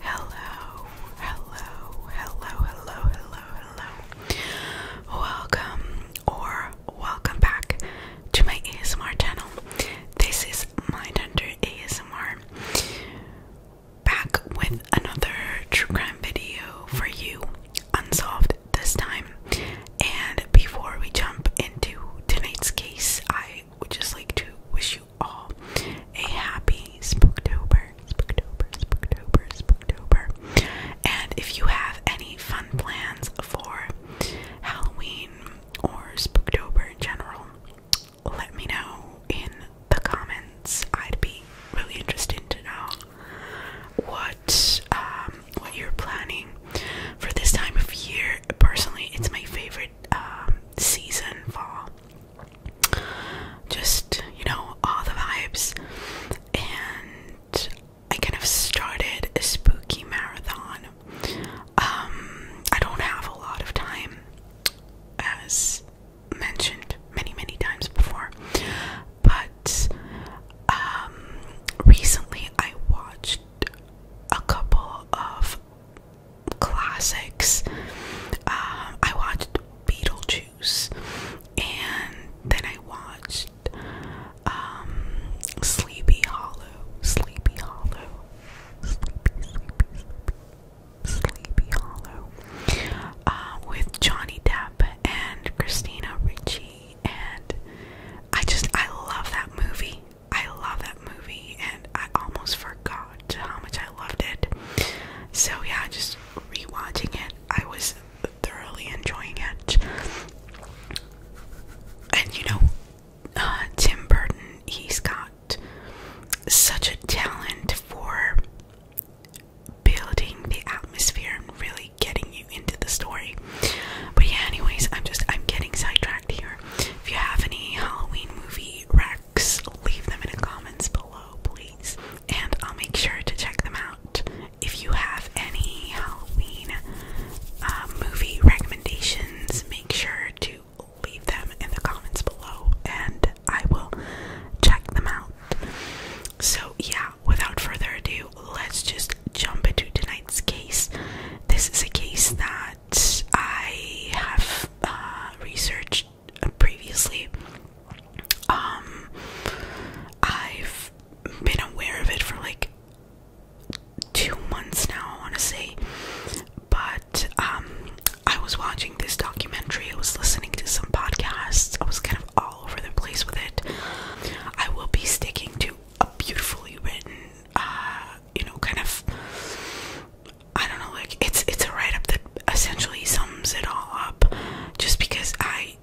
Hello, hello, hello, hello, hello, hello. Welcome or welcome back to my ASMR channel. This is Under ASMR. Back with another true crime video for you, unsolved this time. And before we jump into tonight's case, I I would just like to wish you all a happy Spooktober, Spooktober, Spooktober, Spooktober. And if you have any fun plans for Halloween or Spooktober in general, let me know in the comments. I'd be really interested to know what um, what you're planning for this time of year. Personally, it's my favorite um, season fall. Just, you know, all the vibes. And I kind of started a spooky marathon. Um, I don't have a lot of time, as mentioned many, many times before, but um, recently I watched a couple of classics. Um, I watched Beetlejuice, and then I watched um, Sleepy Hollow. Sleepy Hollow. Sleepy, sleepy, sleepy, sleepy Hollow. Uh, with Johnny Depp and Christina Ricci, and I just I love that movie. I love that movie and I almost forgot how much I loved it. So yeah, just rewatching it, I was thoroughly enjoying it. And you know, uh, Tim Burton, he's got such a talent for building the atmosphere and really getting you into the story. But yeah, anyways, I'm just I'm getting sidetracked here. If you have any Halloween movie recs, leave them in the comments below, please. And I'll make sure to check them out. If you have any Halloween um, movie recommendations, make sure to leave them in the comments below and I will check them out. So, yeah, without further ado, let's just jump into tonight's case. This is a case that I have uh, researched uh, previously. Um, I've been aware of it for like two months now, I want to say. But um, I was watching this documentary, I was listening to some podcasts, I was kind of all over the place with it. I will be sticking to a beautifully written uh, you know, kind of I don't know, like it's it's a write up that essentially sums it all up just because I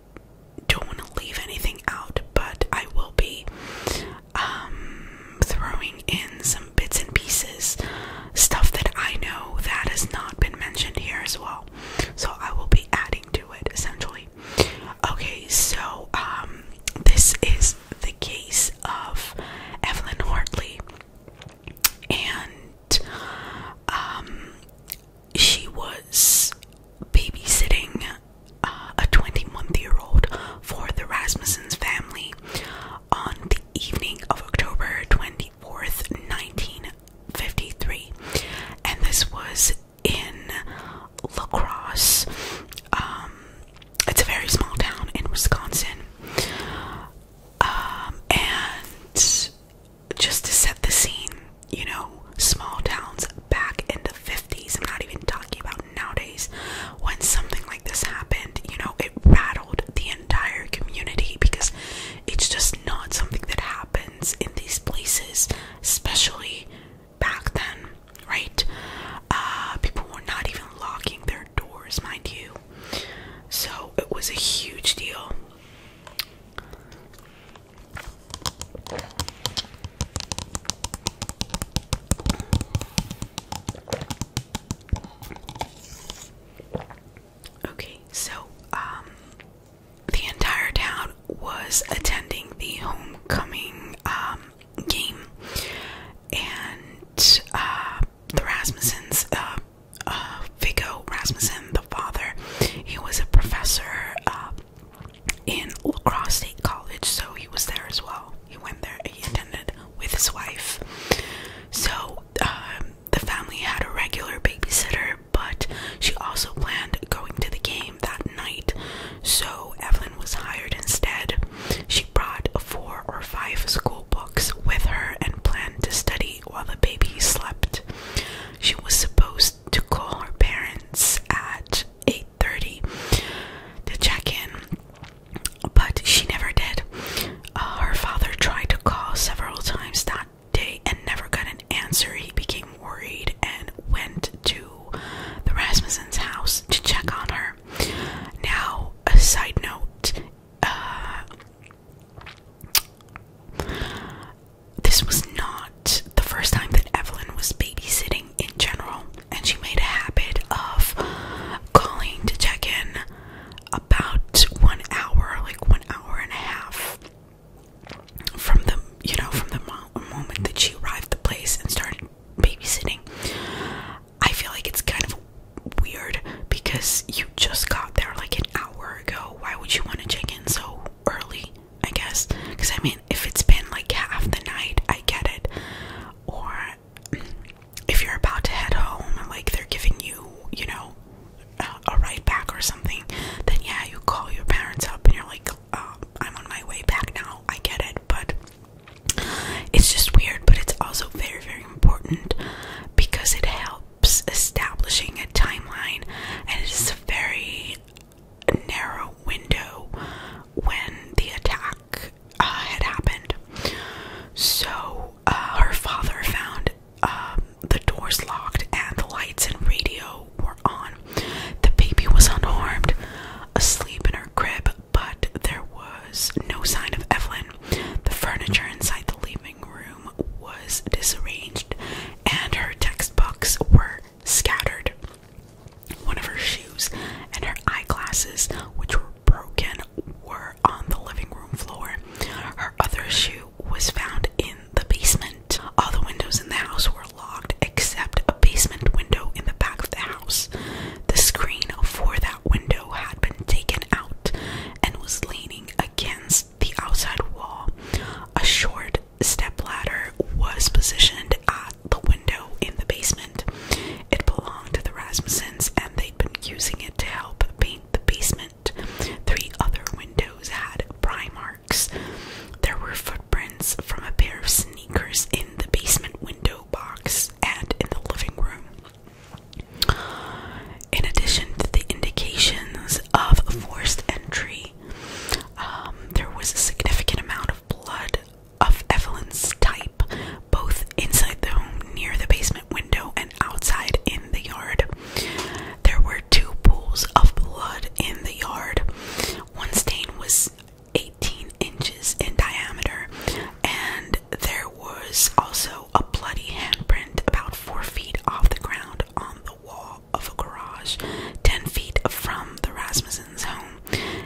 don't want to leave anything out, but I will be um, throwing in some bits and pieces stuff that I know that has not been mentioned here as well. So I will be adding to it essentially. Okay, so um, this is the case of Evelyn Hartley, and um, she was babysitting uh, a 21-year-old for the Rasmussen family on the evening of October 24th, 1953, and this was in La Crosse. Um, it's a very small town in Wisconsin. Um, and just to set the scene, you know, small towns back in the 50s, I'm not even talking about nowadays, when something like this happened, you know, it rattled the entire community because it's just not something that happens in these places, especially back then right? Uh, people were not even locking their doors, mind you. So it was a huge deal. Okay, so um the entire town was attending the homecoming um, game and uh, the Rasmussens, uh, uh Rasmussen, the father, he was a professor uh, in Lacrosse State College, so he was there as well. He went there, he attended with his wife. So um, the family had a regular babysitter, but she also planned going to the game that night, so Evelyn was hired instead brought four or five school books with her and planned to study while the baby slept. She was supposed to call her parents at 8:30 to check in, but she never did. Uh, her father tried to call several times that day and never got an answer. He became worried and went to the Rasmussen's house to check on her. Now, a side note uh, this was not the first time that Evelyn was babysitting in general, and she made a habit of calling to check in about one hour, like one hour and a half from the you know from the moment that she arrived the place and started babysitting I feel like it's kind of weird because you just got there like an hour ago. Why would you want to check in so early? I guess because I mean, if it's been like half the night, I get it. Or if you're about to head home and like they're giving you, you know, a, a ride back or something, then yeah, you call your parents up and you're like, uh, I'm on my way back now. I get it, but it's just weird, but it's also very, very important because it helps establishing a timeline, and it is a very narrow window when the attack uh, had happened. So uh, her father found um, the doors locked and the lights and radio were on. The baby was unharmed, asleep in her crib, but there was no sign of Evelyn. The furniture inside the living room was disarranged, and her textbooks were scattered. One of her shoes and her eyeglasses, which were broken, were on the living room floor. Her other shoe was found in the basement. All the windows in the house were locked except a basement window in the back of the house. The screen for that window had been taken out and was leaning against the outside wall. A short step ladder was positioned at the window in the basement. It belonged to the Rasmussens and they'd been using it to help paint the basement. Three other windows had pry marks. There were footprints from a pair of sneakers in the basement window box and in the living room. In addition to the indications of forced entry, um, there was a significant amount of blood of Evelyn's type, both inside the home near the basement window and outside in the yard. There were two pools of blood in the yard. One stain was 18 inches in diameter, and there was also a bloody handprint about 4 feet off the ground on the wall of a garage 10 feet from the Rasmussen's home,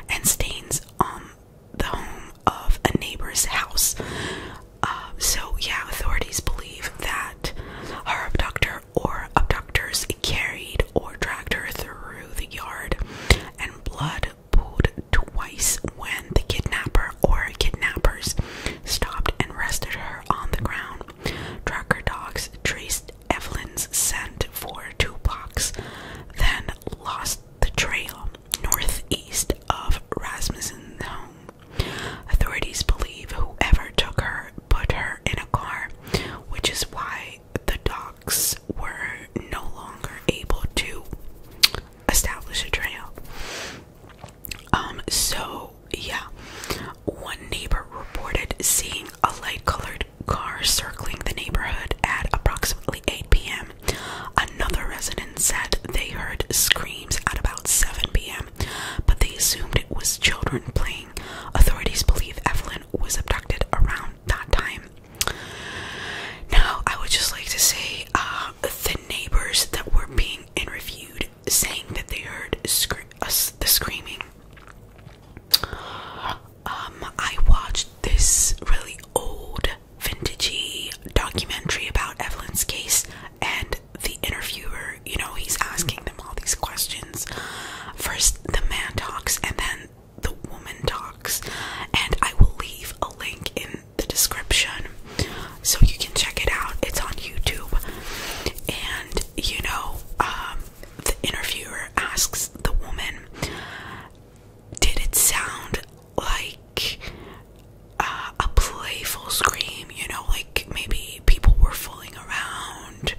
and stains on the home of a neighbor's house. Um, so, yeah, authorities believe that her abductor or abductors carried or dragged her through the yard, and blood pulled twice when the kidnapper or kidnappers stopped and rested her on the ground. Tracker dogs traced Evelyn's scent for two blocks, then lost the trail northeast of Rasmussen's home. Authorities believe whoever took her put her in a car, which is why the dogs police were no longer able to establish a trail. Um, so yeah, one neighbor reported seeing a light colored car circling the neighborhood at approximately 8 p.m. Another resident said they heard screams at about 7 p.m., but they assumed it was children playing. Authorities believe Evelyn was abducted around that time. Now, I would just like to say uh, the neighbors that were being interviewed saying that they heard uh, the screaming. Um, I watched this really old, vintagey documentary about Evelyn's case, and the interviewer, you know, he's asking them all these questions. First, the man talks, and then the woman talks, and I will leave a link in the description so you can check it out. It's on YouTube, and you know, um, the interviewer asks the woman, "Did it sound like uh, a playful scream? You know, like maybe people were fooling around."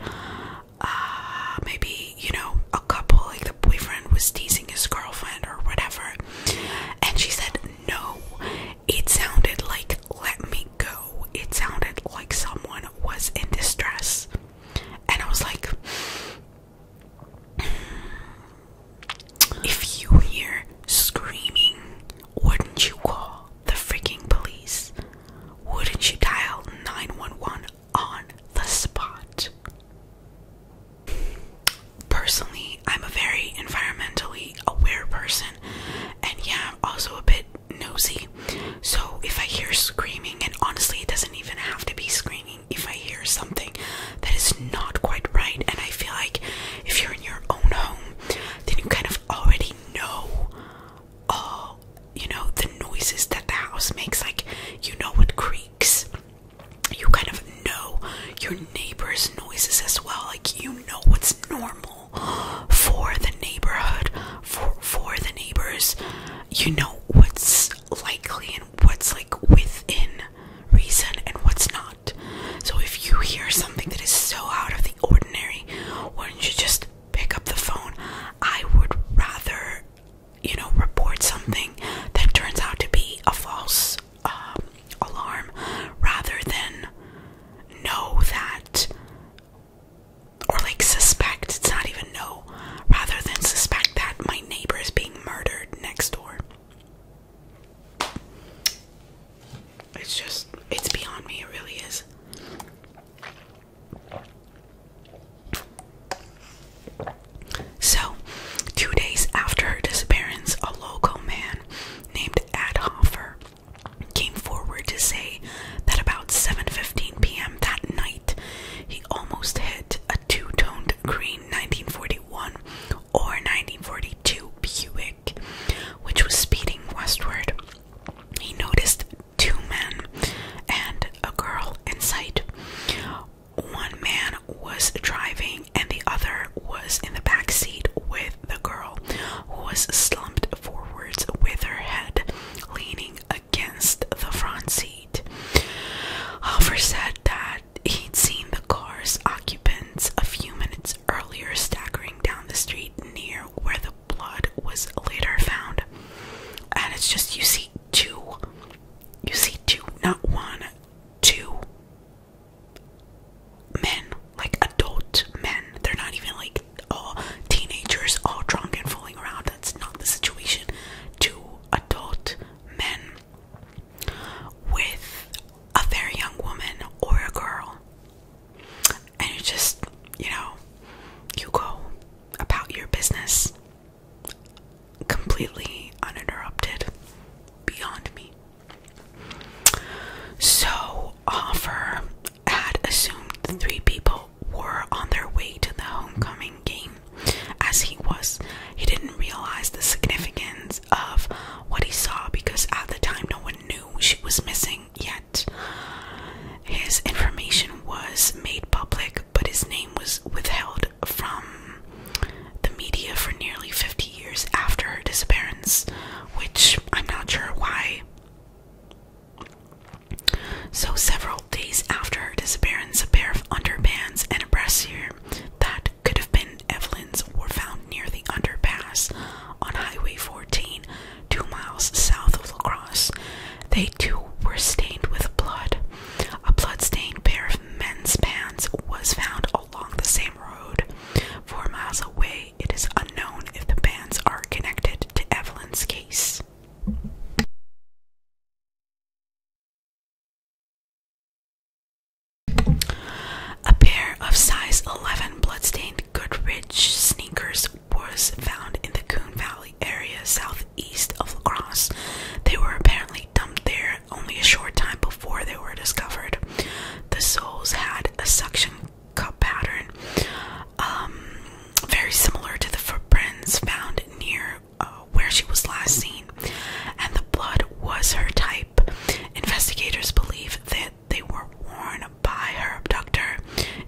Uh, maybe, you know, a couple, like the boyfriend was teasing his girlfriend or whatever. And she said, No, it sounded like let me go. It sounded like someone was in distress. And I was like, If you hear screaming, wouldn't you call the freaking police? Wouldn't you dial 911 on the spot? Personally, I'm a very environmentally aware person, and yeah, I'm also a bit nosy. So if I hear screaming, and honestly, it doesn't even have to be screaming, if I hear something that is not quite right, and I feel like if you're in your own home, then you kind of already know all, uh, you know, the noises that the house makes, like you know what creaks you kind of know your neighbor's noises as well. Like you know what's normal for the neighborhood, for for the neighbors. You know what's likely and what's like within reason and what's not. So if you hear something that is so out of the ordinary, why do not you just pick up the phone? I would rather you know, report something that turns out to be a false um, alarm rather than know that, or like suspect, it's not even know, rather than suspect that my neighbor is being murdered next door. It's just, it's beyond me, it really is. So, two days after her disappearance, a local man named Adhofer came forward to say that about 7:15 p.m. that night, he almost hit a two-toned green 1941 or 1942 Buick, which was speeding westward. He noticed two men and a girl in sight one man was driving and the other was in the back seat with the girl who was slumped forwards with her head leaning against the front seat. Hoffer said that he'd seen the car's occupants a few minutes earlier staggering down the street near where the blood was later found. And it's just you see two. You see two, not one two men, like adult men. They're not even like all teenagers, all drunk and fooling around. That's not the situation. Two adult men with a very young woman or a girl. And you just, you know, you go about your business completely uninterrupted beyond me. So, Offer had assumed the three people were on their way to the homecoming game as he was. He didn't realize the significance of what he saw because at the time no one knew she was missing yet. His information was made public, but his name was withheld from the media for nearly 50 years after her disappearance, which I'm not sure why. So, several days after her disappearance, a pair of underpants and a brassiere that could have been Evelyn's were found near the underpass on Highway 14, two miles south of La Crosse. They too were stained with blood. A blood-stained pair of men's pants was found along the same road. Four miles away, it is unknown if the pants are connected to Evelyn's case. A pair of size 11 blood bloodstained Goodrich sneakers was found in the Coon Valley area southeast of La Crosse. They were apparently dumped there only a short time before they were discovered. The soles had a suction cup pattern, um, very similar to the footprints found near uh, where she was last seen, and the blood was her type. Investigators believe that they were worn by her abductor.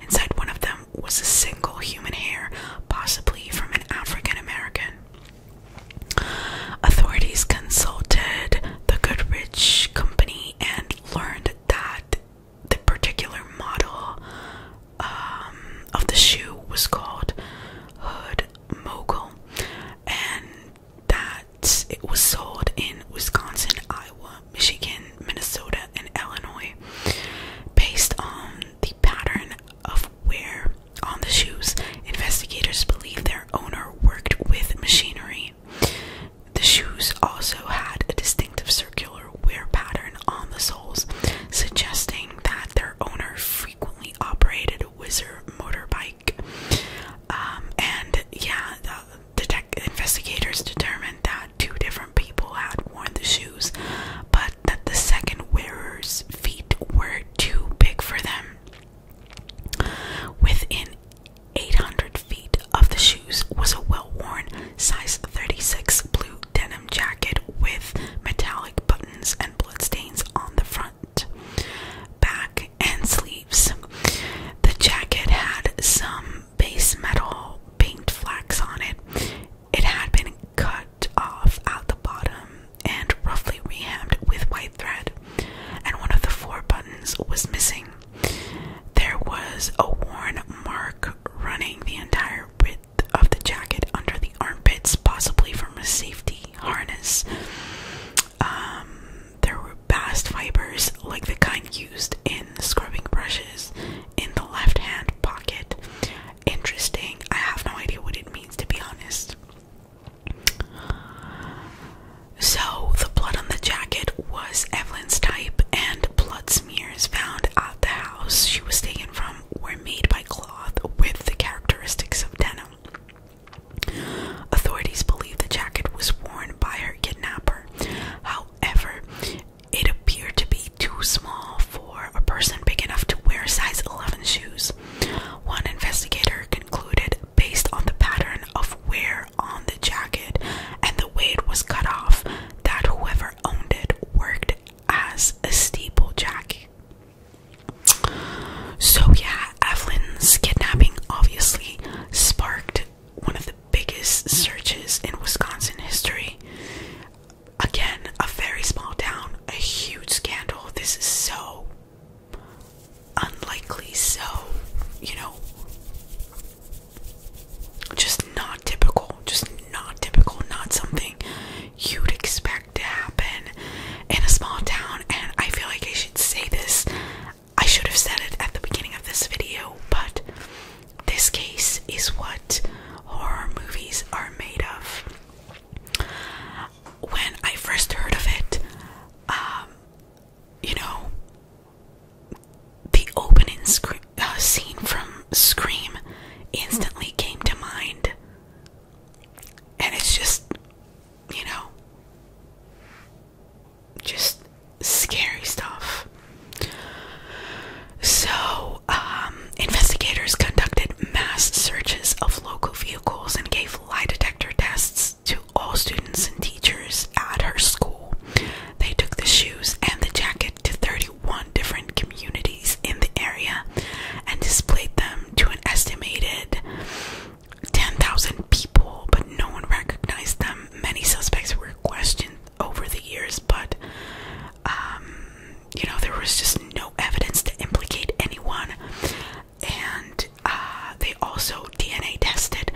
Inside one of them was a single human hair, possibly from an African American. Authorities consulted the Goodrich Company and learned that the particular model um, of the shoe was called Hood Mogul and that it was sold in Wisconsin, Iowa, Michigan, Minnesota, and Illinois. Based on the pattern of where on the shoes. Investigators believe their owner worked with machinery. The shoes also had a distinctive circular wear pattern on the soles, suggesting that their owner frequently operated a whizzer motorbike. Um, and yeah, the investigators determined that two different people had worn the shoes, but that the second wearer's feet were too big for them. Within 800 feet of the shoes was a well worn size 36 blue denim jacket with metallic buttons and bloodstains on the front, back, and sleeves. The jacket had some base metal paint flax on it. It had been cut off at the bottom and roughly rehammed with white thread, and one of the four buttons was missing. There was a worn mark running the entire width of the jacket under the armpits, possibly from a safety harness. Um, there were bast fibers like the kind used in scrubbing brushes in the left hand pocket. Interesting. I have no idea what it means to be honest. So, the blood on the jacket was Evelyn's type, and blood smears found at the house she was taken from were made by cloth with the characteristics of denim. Authorities believe the jacket was worn by her kidnapper. However, it appeared to be too small for a person big enough to wear size 11 shoes. One investigator concluded, based on the pattern of wear on the jacket and the way it was cut off, that whoever owned it worked as a steeplejack. So, yeah, Evelyn's kidnapping obviously sparked one of the biggest searches in Wisconsin history. Again, a very small town, a huge scandal. This is so unlikely, so you know, just not typical, just not typical, not something you'd expect to happen in a small town. And I feel like I should say this, I should have said it at the beginning of this video, but this case is what horror movies are made of when I first heard of it, um, you know, the opening uh, scene from Scream instantly came to mind. And it's just, you know, just scary stuff. So, um, investigators conducted mass searches of local vehicles and gave lie detector tests to all students and teachers at her school. They took the shoes and the jacket to 31 different communities in the area and displayed them to an estimated 10,000 people, but no one recognized them. Many suspects were questioned over the years, but um, you know, there was just no evidence to implicate anyone and uh, they also DNA tested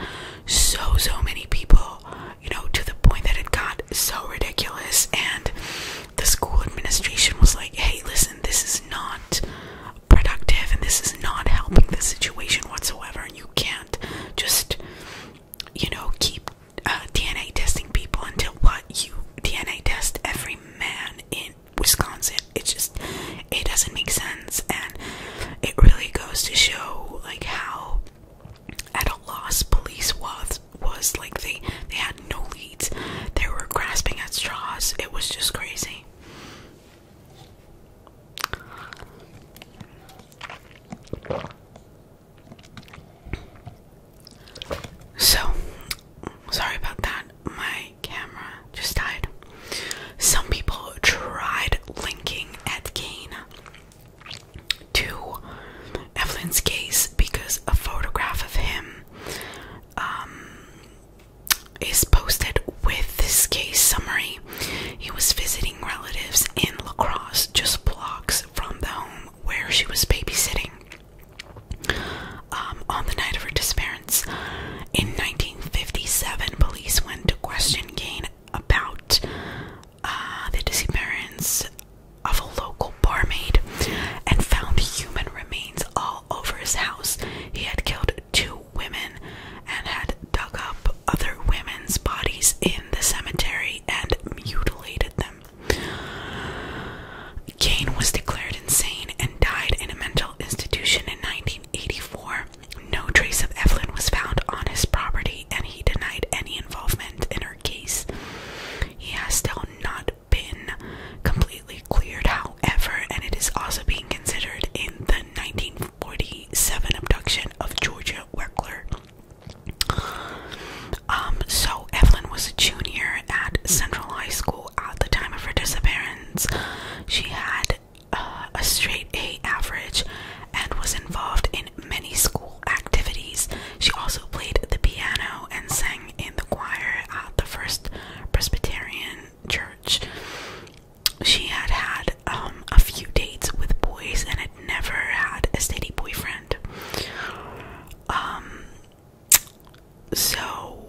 so so many people, you know, to the point that it got so ridiculous. And the school administration was like, "Hey, listen, this is not productive, and this is not helping the situation whatsoever. And you can't just, you know, keep." Uh, DNA testing people until what you DNA test every man in Wisconsin. it just it doesn't make sense and it really goes to show like how at a loss police was was like they they had no leads. They were grasping at straws. It was just crazy. So, sorry about that. My camera just died. Some people tried linking Ed Gein to Evelyn's case because a photograph of him um, is posted with this case summary. He was visiting relatives in La Crosse, just blocks from the home where she was babysitting. Um, on the night of her disappearance in 1957, police went to question Kane about uh, the disappearance of a local barmaid and found human remains all over his house. He had killed two women and had dug up other women's bodies in the cemetery and mutilated them. Kane was declared insane and died in a mental institution in 1984. No trace of Evelyn was found on his property, and he denied any involvement in her case. He has still not been completely cleared, however, and it is also being considered in the 1947 abduction of Georgia Weckler. Um, so Evelyn was a junior at Central High School at the time of her disappearance. She had uh, a straight A average and was involved in many school activities. She also played the piano and sang in the choir at the First Presbyterian Church. She had had um, a few dates with boys and had never had a steady boyfriend. Um, so,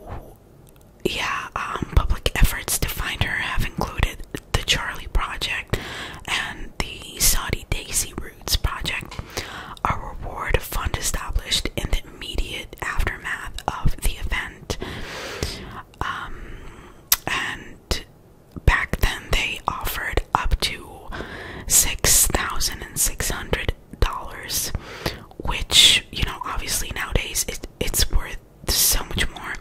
yeah, um, public efforts to find her have included the Charlie Project and the Saudi Daisy Roots Project, a reward fund established in the immediate aftermath of the event. Um, and back then, they offered up to $6,600 dollars, which you know obviously nowadays it it's worth so much more.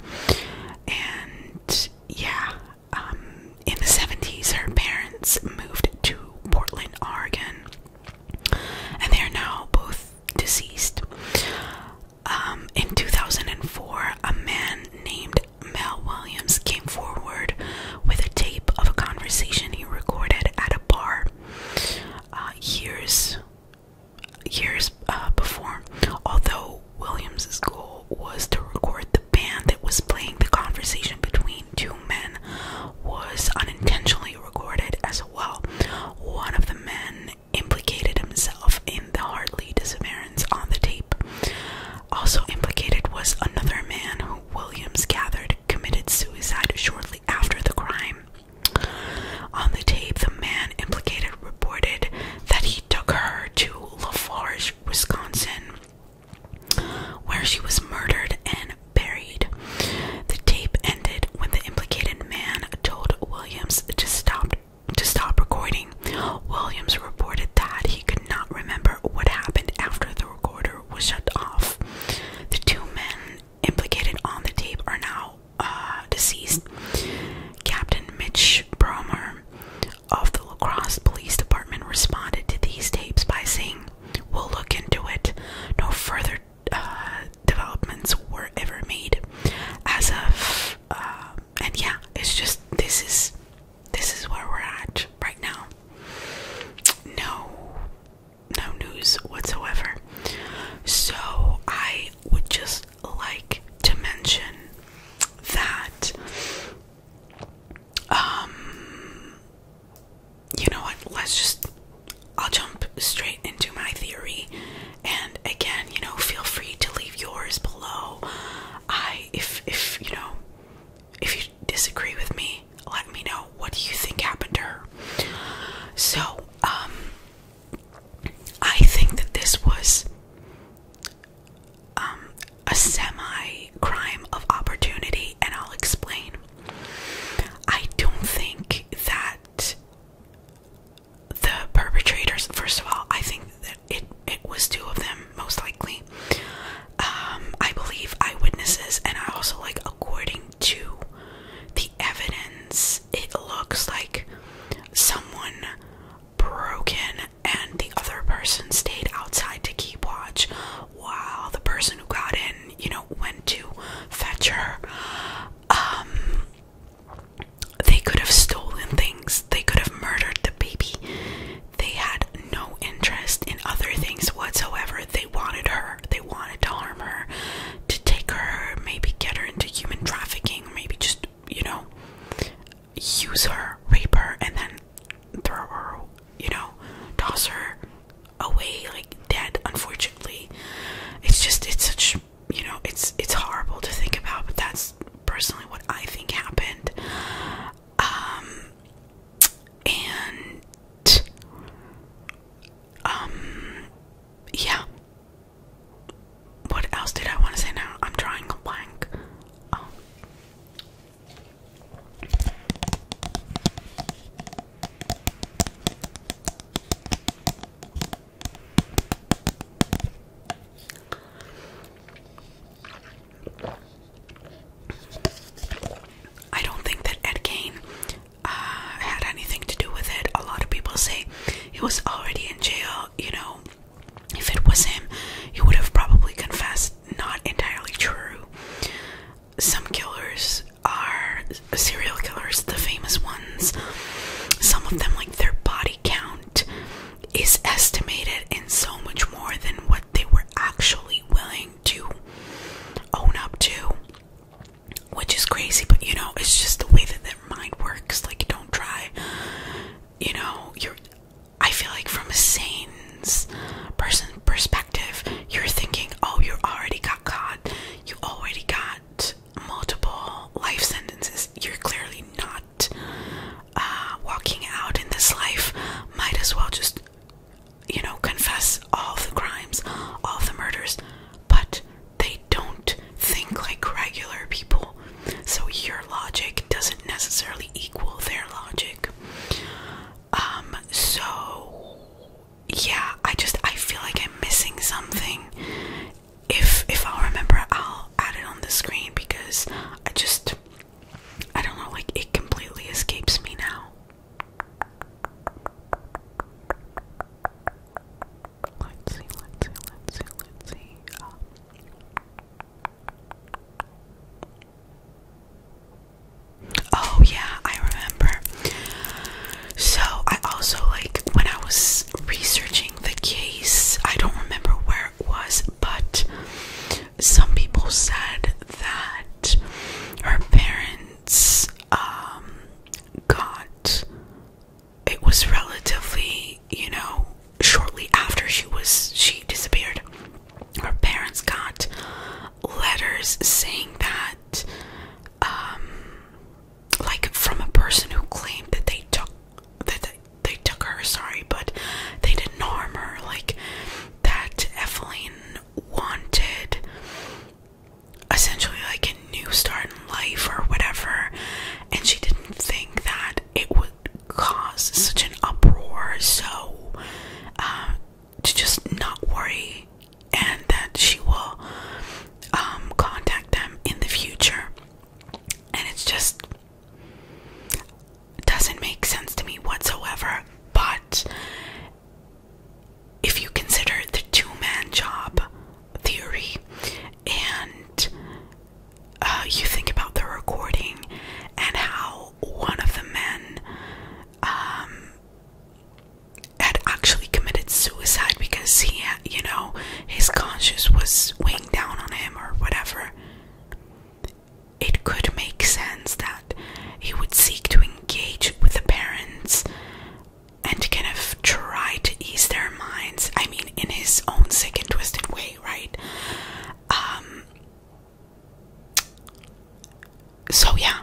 And yeah, um, in the seventies, her parents moved to Portland, Oregon, and they are now both deceased. Um, in 2004, a man named Mel Williams came forward with a tape of a conversation he recorded at a bar. Uh, years years uh, before. Although Williams' goal was to record the band that was playing, the conversation between two men was unintentionally recorded as well. One of the men implicated himself in the Hartley disappearance on the tape. Also implicated was another man who Williams gathered committed suicide shortly after the crime. On the tape, the man implicated reported that he took her to Lafarge, Wisconsin, where she was murdered and buried. The tape ended when the implicated man told Williams to stop to stop recording. Williams reported that he could not remember what happened after the recorder was shut off. The two men implicated on the tape are now uh, deceased. Captain Mitch Bromer of the La Crosse Police Department responded to these tapes by saying, We'll look into it. No further uh, developments were ever made. As of, uh, and yeah, it's just this is this is where we're at right now. No no news whatsoever. So I would just like to mention that um you know what, let's just I'll jump straight into my theory and again, you know, feel free to leave yours below. I if if you know if you disagree with me, let me know what do you think happened to her. So um, I think that this was um, a semi crime of opportunity, and I'll explain. I don't think that the perpetrators, first of all, I think that it, it was two of them, most likely. Um, I believe eyewitnesses, and I also like, according to the evidence, it looks like someone broke in and the other person stayed outside to keep watch while the person who got in, you know, went to fetch her. Um, they could have stolen things, they could have murdered the baby. They had no interest in other things whatsoever. They wanted her wanted to harm her, to take her, maybe get her into human trafficking, maybe just, you know, use her, rape her, and then throw her, you know, toss her away like dead, unfortunately. It's just it's such you know, it's it's horrible to think about, but that's personally what I think happened. Um and um yeah. What else did I want to say now? I'm drawing a blank. Um, I don't think that Ed Kane uh, had anything to do with it. A lot of people say he was already in jail, you know. If it was him, he would have probably confessed. Not entirely true. Some killers are serial killers, the famous ones. Some of them, like their body count, is estimated in so much more than what they were actually willing to own up to which is crazy, but you know, it's just the way that their mind works. Like, don't try, you know, you're. I feel like from a sane person perspective, you're thinking, oh, you already got caught, you already got multiple life sentences. You're clearly not uh, walking out in this life. Might as well just, you know, confess all the crimes, all the murders. But they don't think like regular people. So your logic doesn't necessarily equal their logic. Um, so yeah, I just I feel like I'm missing something. If if I'll remember I'll add it on the screen because I just I don't know, like it completely escapes me now. Let's see, let's see, let's see, let's see. Uh, oh, yeah, I remember. So, I also like when I was researching the case, I don't remember where it was, but some people said that her parents um, got it was relatively, you know, shortly after she was she disappeared. Her parents got letters saying that um like from a person who claimed that they took that they, they took her, sorry, but they didn't harm her, like that Evelyn wanted essentially like a new start in life or whatever, and she didn't think that it would cause such an uproar. So, uh, to just not worry, and that she will um, contact them in the future. And it just doesn't make sense to me whatsoever. But if you consider the two man job theory and uh, you think about the recording and how one of the men um, had actually committed suicide because he you know, his conscience was weighing down on him or whatever. It could make sense that he would seek to engage with the parents and kind of try to ease their minds. I mean, in his own sick and twisted way, right? Um, so, yeah,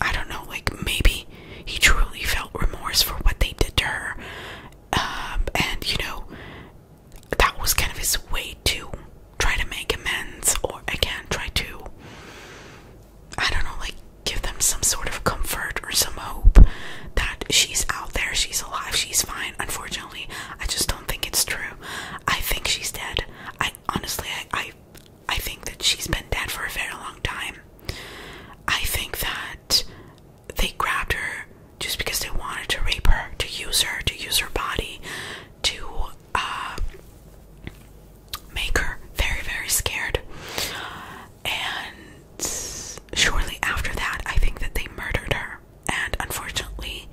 I don't know, like maybe he truly felt remorse for what they did to her. Um, and, you know, that was kind of his way to try to make amends or, again, try to I don't know, like give them some sort of comfort or some hope that she's out there, she's alive, she's fine. Unfortunately, I just don't think it's true. I think she's dead. I honestly, I, I, think that she's been dead for a very long time. I think that they grabbed her just because they wanted to rape her, to use her, to use her body, to uh, make her very, very scared. And shortly after that, I think that they murdered her. And unfortunately,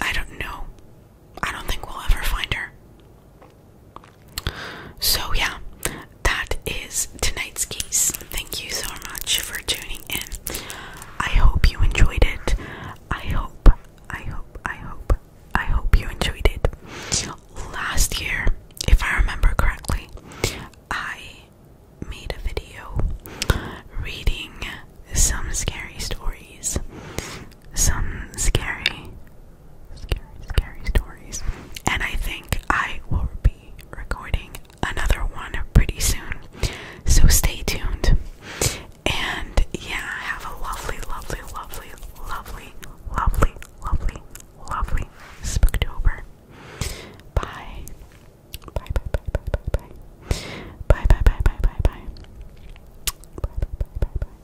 I don't know. I don't think we'll ever find her. So, yeah, that is tonight's case. Thank you so much for tuning in. I hope you enjoyed it. I hope, I hope, I hope, I hope you enjoyed it last year, if I remember correctly, I made a video reading some scary stories. Some scary, scary, scary stories. And I think I will be recording another one pretty soon. So stay tuned. And yeah, have a lovely, lovely, lovely, lovely, lovely, lovely, lovely Spooktober. Bye. Bye, bye, bye, bye, bye, bye. Bye, bye, bye, bye, bye, bye. Bye, bye, bye, bye, bye.